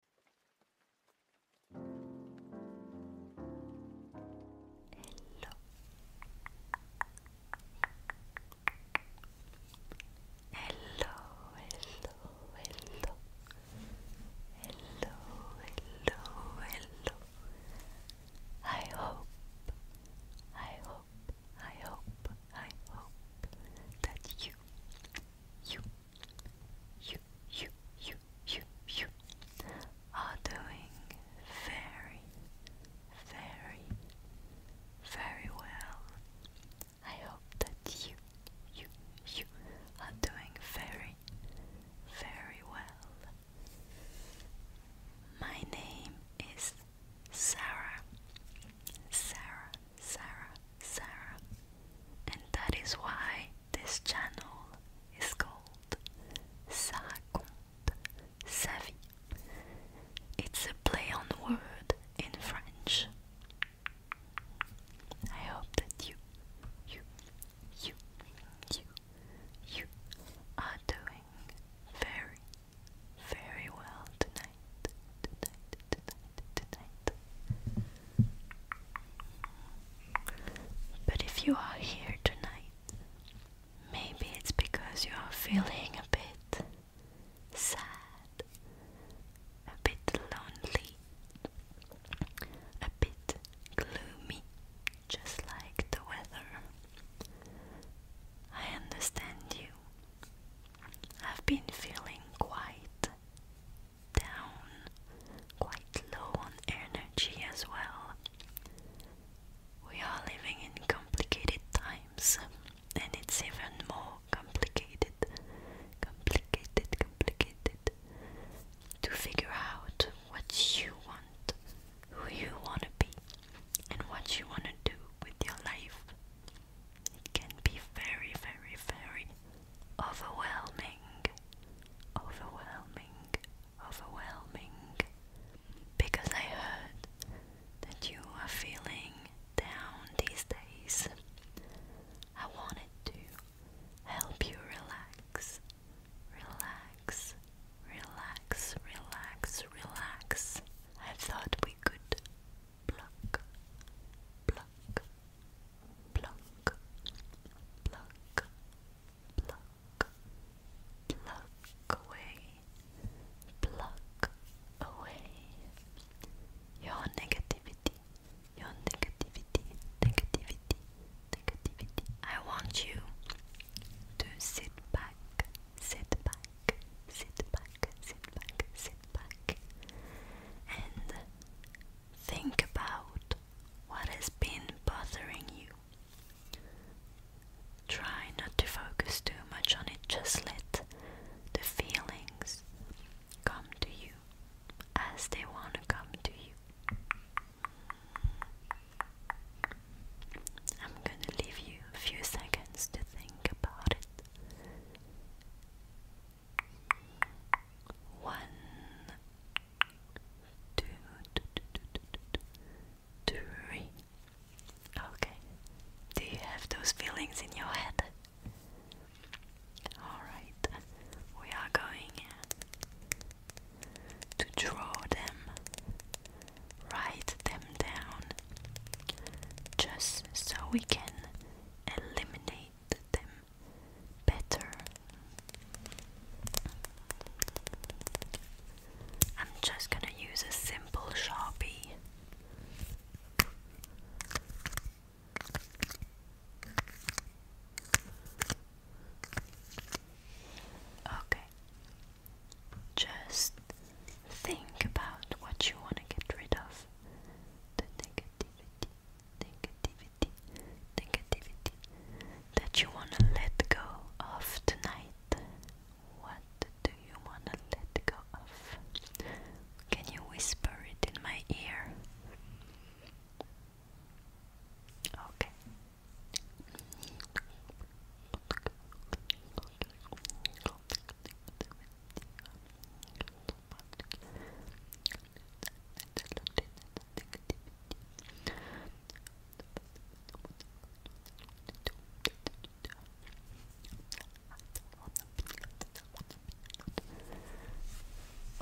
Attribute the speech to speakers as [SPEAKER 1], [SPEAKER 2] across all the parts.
[SPEAKER 1] Hello. Hello, hello, hello. Hello, hello, hello. I hope, I hope, I hope, I hope that you, you, you, you, you, you, you are doing very, very, very well. I hope that you, you, you are doing very, very well. My name is Sarah. Sarah, Sarah, Sarah. And that is why this channel is called Ça raconte sa It's a play on word in French. I hope that you, you, you, you, you are doing very, very well tonight, but if you are here tonight, maybe it's because you are feeling a bit sad, a bit lonely, a bit gloomy, just like the weather. I understand you. I've been feeling quite down, quite low on energy as well. We are living in complicated times, and it's even more complicated, complicated, complicated to figure out what you want, who you want to be, and what you want to do with your life. It can be very, very, very overwhelming, overwhelming, overwhelming. Because I heard that you are feeling down these days. I wanted to help you relax, relax, relax, relax, relax. I thought we could pluck, pluck, pluck, pluck, pluck, pluck, away, pluck away your negativity, your negativity, negativity, negativity. I want you to sit back, sit back, sit back, sit back, sit back, and think about what has been bothering you? Try not to focus too much on it, just let the feelings come to you as they want to come to you. I'm gonna leave you a few seconds to think about it one, two, two, two, two, two, two, three. Okay. Do you have those feelings in your head? Alright, we are going to draw them, write them down, just so we can eliminate them better. I'm just gonna use a simple sharpie. Okay, just think about what you want to get rid of the negativity negativity, negativity that you want to let go of tonight? What do you want to let go of? Can you whisper it in my ear? Okay.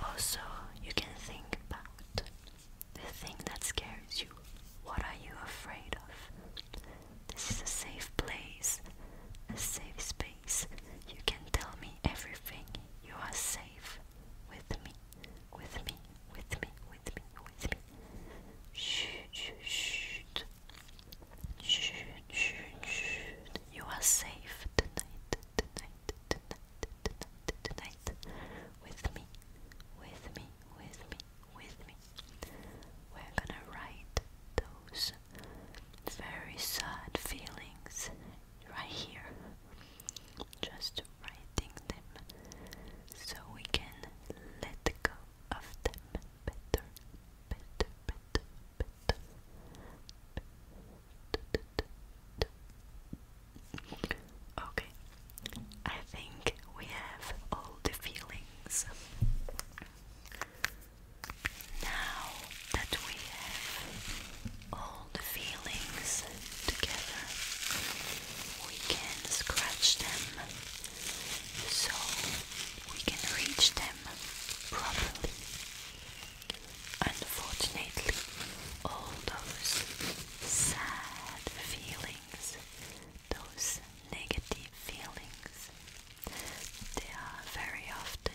[SPEAKER 1] Also, you can think about the thing that scares you. What are you afraid of? This is a safe place, a safe space. You can tell me everything you are safe with me, with me, with me, with me, with me. Shoot, shoot, shoot. Shoot, shoot, shoot. You are safe tonight, tonight, tonight, tonight, tonight. With me, with me, with me, with me. We're gonna write those very sad feelings right here just writing them so we can let go of them better, better, better, Okay, I think we have all the feelings. Now that we have all the feelings together. We can scratch them so we can reach them properly. Unfortunately, all those sad feelings, those negative feelings, they are very often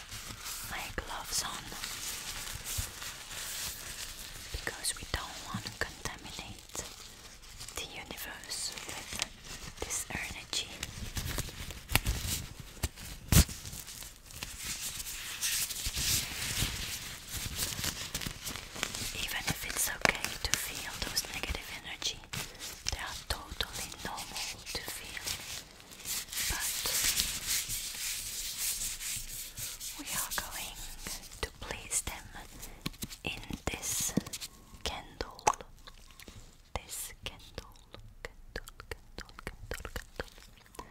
[SPEAKER 1] my gloves on because we don't want to contaminate the universe with this energy. Even if it's okay to feel those negative energy, they are totally normal to feel but we are going to place them in this candle. This candle, candle, candle, candle, candle.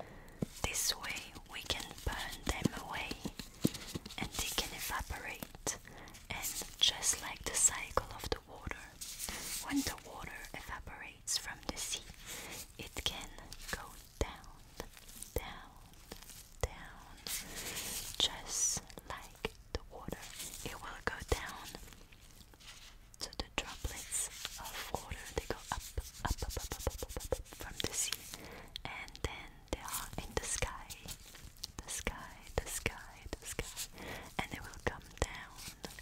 [SPEAKER 1] This way we can burn them away and they can evaporate. And just like the cycle of the water, when the water evaporates from the sea, it can go down, down, down, just like the water. It will go down. So the droplets of water they go up, up, up, up, up, up, up from the sea, and then they are in the sky, the sky, the sky, the sky, and they will come down,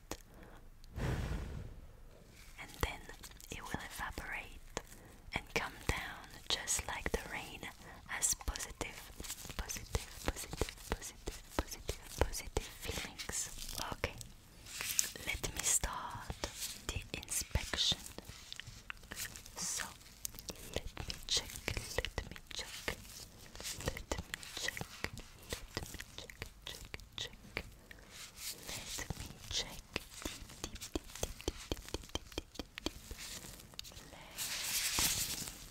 [SPEAKER 1] And then it will evaporate and come down just like the rain as positive, positive, positive, positive, positive, positive feelings. Okay, let me start the inspection. So, let me check, let me check, let me check, let me check, check, check. Let me check.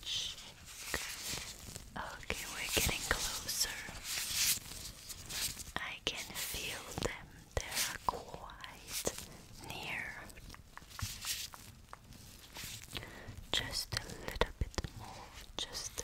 [SPEAKER 1] check. Okay, we're getting closer. I can feel them. They're quite near. Just a little bit more. Just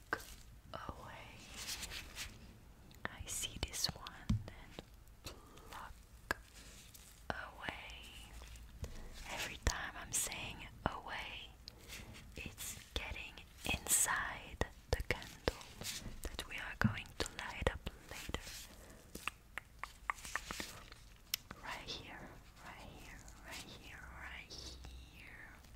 [SPEAKER 1] away. I see this one and pluck away. Every time I'm saying away, it's getting inside the candle that we are going to light up later. Right here, right here, right here, right here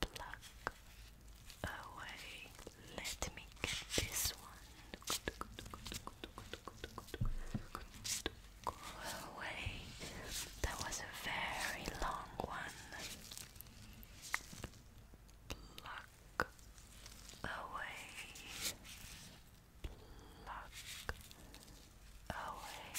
[SPEAKER 1] pluck away. Let me get this one. away. That was a very long one. Pluck away. Pluck away.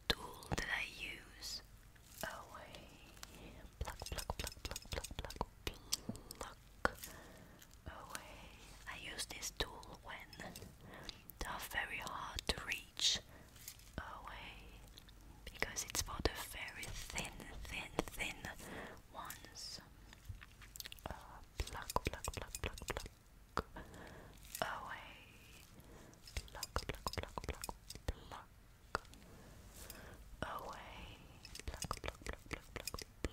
[SPEAKER 1] tool that I use. Oh, away. Pluck, pluck, pluck, pluck, pluck, pluck, pluck. Away. Oh, I use this tool when they're very hard to reach. Away. Oh, because it's for the very thin, thin, thin ones. Uh, pluck, pluck, pluck, pluck, pluck. Away. Oh, pluck, pluck, pluck, pluck, pluck away. Pluck, pluck, pluck, pluck, pluck, pluck.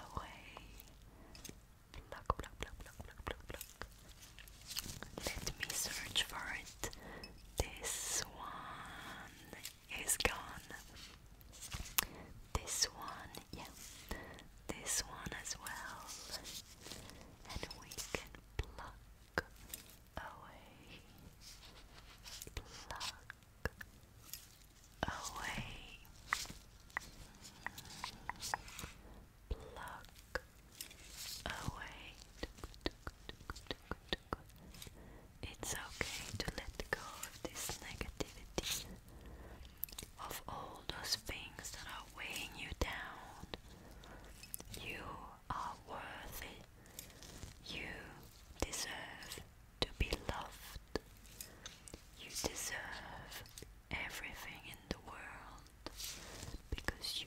[SPEAKER 1] Away. Pluck, pluck, pluck, pluck, pluck, pluck, pluck. Let me search for it. This one is gone. This one, yeah. This one as well. And we can pluck away, pluck away, pluck away. It's okay to let go of this negativity, of all those things that are weighing you down. You are worthy. You deserve to be loved. You deserve everything in the world because you,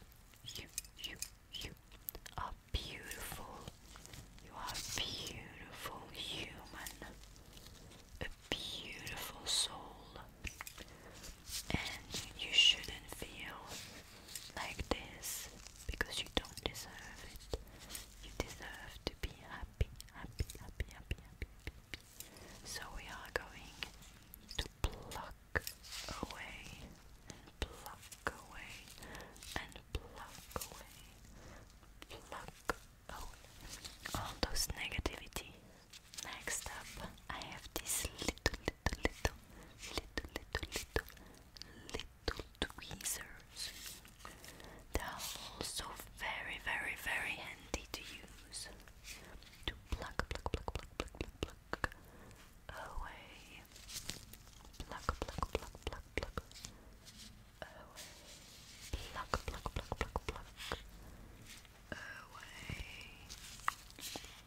[SPEAKER 1] you, you, you are beautiful. You are a beautiful human, a beautiful soul, and you shouldn't feel like this because you don't deserve it. You deserve to be happy, happy, happy, happy, happy. happy. So we are going to pluck away and pluck away and pluck away, pluck away all those negativity. Next up, I have this little, little, little, little, little, little, little tweezers. They are also very, very, very handy to use to pluck, pluck, pluck, pluck, pluck, pluck, pluck away. Pluck, pluck, pluck, pluck, pluck away. Pluck, pluck, pluck, pluck, pluck away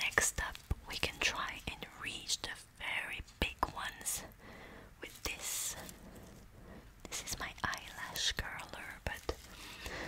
[SPEAKER 1] Next up, we can try and reach the very big ones with this. This is my eyelash curler, but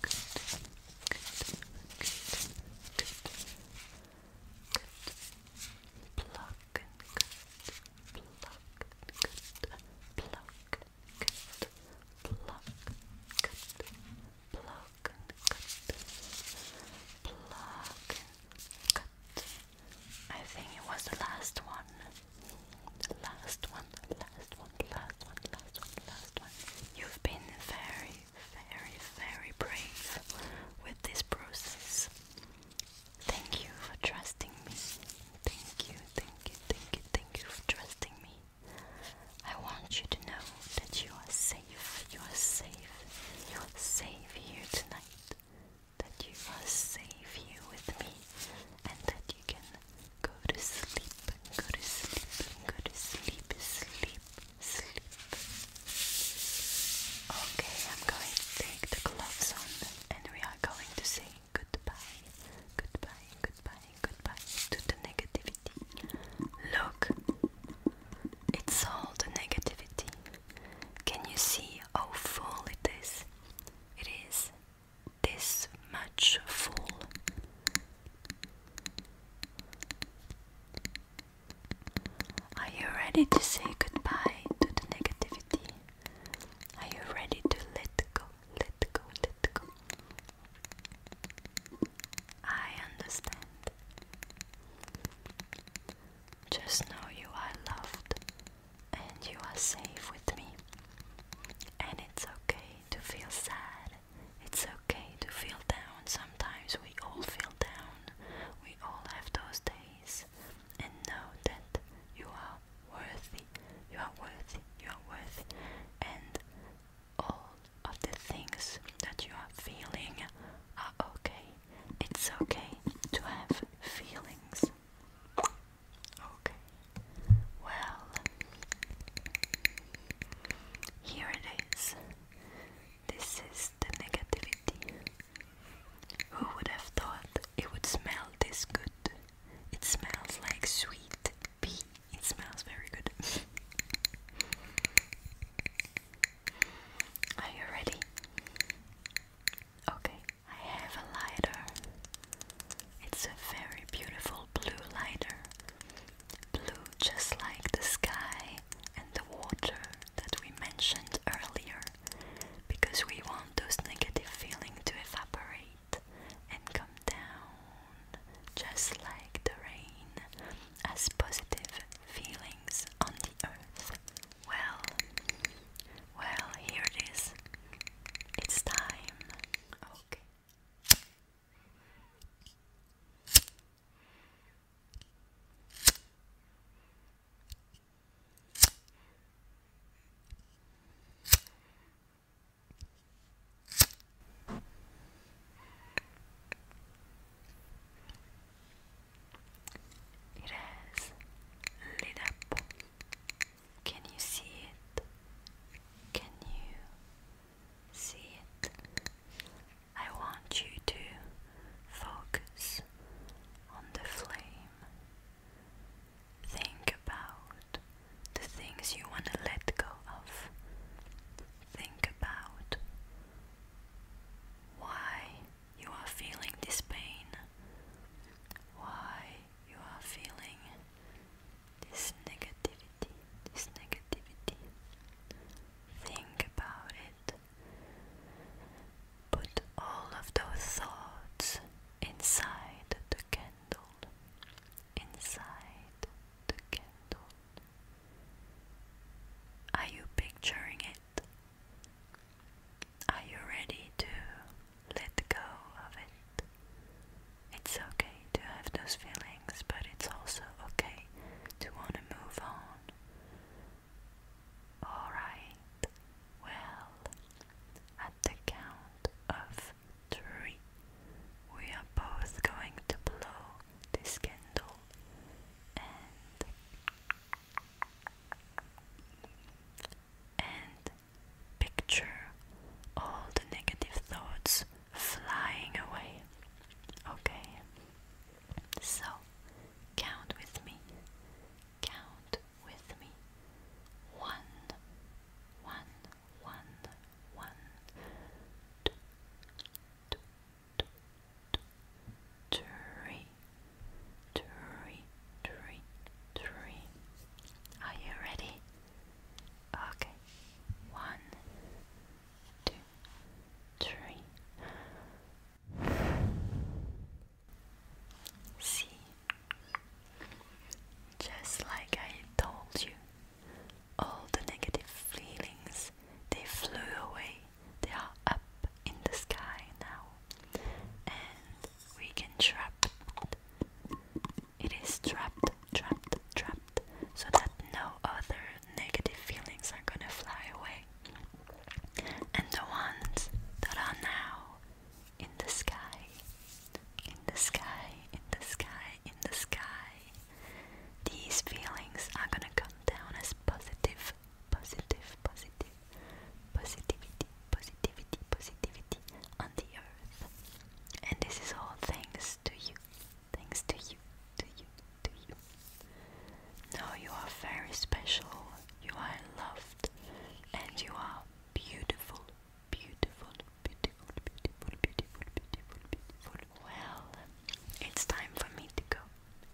[SPEAKER 1] good, good, good, good. Good. Pluck and good, pluck good, pluck good, pluck good, pluck and good, pluck and good. I think it was the last one. The last one, last one, last one, last one, last one. You've been very very, very brave with this process. Thank you for trusting me. Thank you, thank you, thank you, thank you for trusting me. I want you to know that you are safe, you are safe, you are safe here tonight. That you are safe here with me and that you can go to sleep, go to sleep, go to sleep, sleep, sleep. Okay, I'm going to take the gloves on and we are going to say goodbye, goodbye, goodbye, goodbye to the negativity. Look, it's all the negativity. Can you see how full it is? It is this much full. Are you ready to say goodbye to the negativity? Are you ready to let go, let go, let go? I understand. Just know you are loved and you are safe with me. And it's okay to feel sad it's okay to feel down. Sometimes we all feel down. We all have those days. And know that you are worthy. You are worthy. You are worthy. And all of the things that you are feeling are okay. It's okay to have feelings. Okay. Well, here it is. This is the negativity. Who would have thought it would smell this good? It smells like sweet pea. It smells very good. Are you ready? Okay, I have a lighter. It's a very beautiful blue lighter blue just like the sky and the water that we mentioned earlier, because we want those negative feelings to evaporate and come down just like the rain as positive feelings on the earth. Well, well, here it is. It's time. Okay. It has lit up. Can you see it? Can you see it. I want you to focus on the flame. Think about the things you want to let go of. Think about why you are feeling this pain, why you are feeling this negativity this negativity. Think about it. Put all of those thoughts inside the candle. Inside the candle. Are you picturing it? Are you ready to let go of it? It's okay to have those feelings but it's also okay to want to move on. Alright, well, at the count of three, we are both going to blow this candle and picture all the negative thoughts flying away. Okay, so count with me, count with me. One, one, one, one, two, two, two, two, three, three, three, three. Are you ready? Okay. One, two, three, see, just like I told you, all the negative feelings they flew away, they are up in the sky now, and we can trap it. It is trapped, trapped, trapped, so that no other negative feelings are gonna fly away, and the ones that are now in the sky, in the sky, in the sky, in the sky, these feelings are gonna come down as positive, positive, positive, positivity, positivity, positivity on the earth, and this is all thanks to you. Thanks to you, to you, to you. No, you are very special. You are loved. And you are beautiful, beautiful, beautiful, beautiful, beautiful, beautiful, beautiful. Well, it's time for me to go.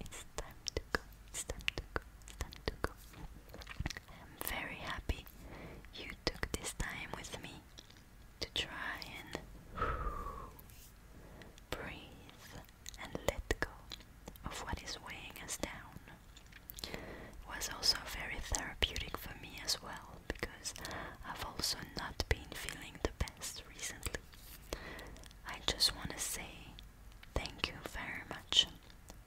[SPEAKER 1] It's time to go. It's time to go. It's time to go. I'm very happy you took this time with me to try and Breathe and let go of what is weighing us down. was also very therapeutic for me as well because I've also not been feeling the best recently. I just want to say thank you very much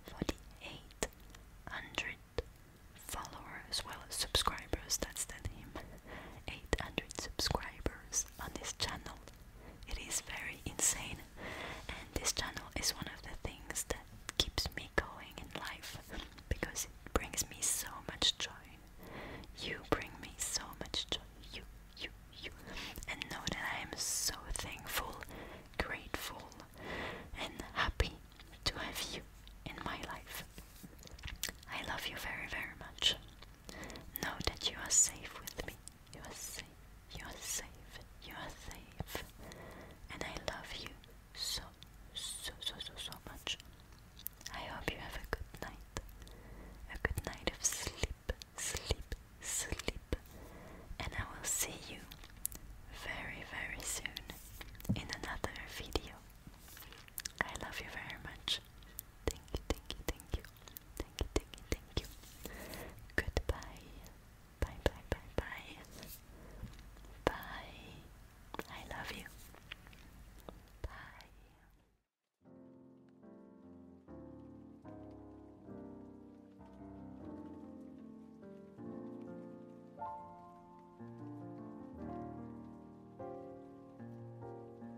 [SPEAKER 1] for the 800 followers, well, subscribers, that's the name. 800 subscribers on this channel. It is very insane, and this channel is one of the things that keeps me going in life because it brings me so much joy. You bring me so much joy. You, you, you. And know that I am so thankful, grateful, and happy to have you in my life. I love you very, very much. Know that you are safe with me. You are safe. You are safe. You are safe. And I love you so, so, so, so, so much. I hope you have a good night. A good night of sleep, sleep, sleep. And I will see you very, very soon in another video. I love you very much. Thank you, thank you, thank you. Thank you, thank you, thank you. Goodbye. Bye, bye, bye, bye. Bye. I love you. Bye.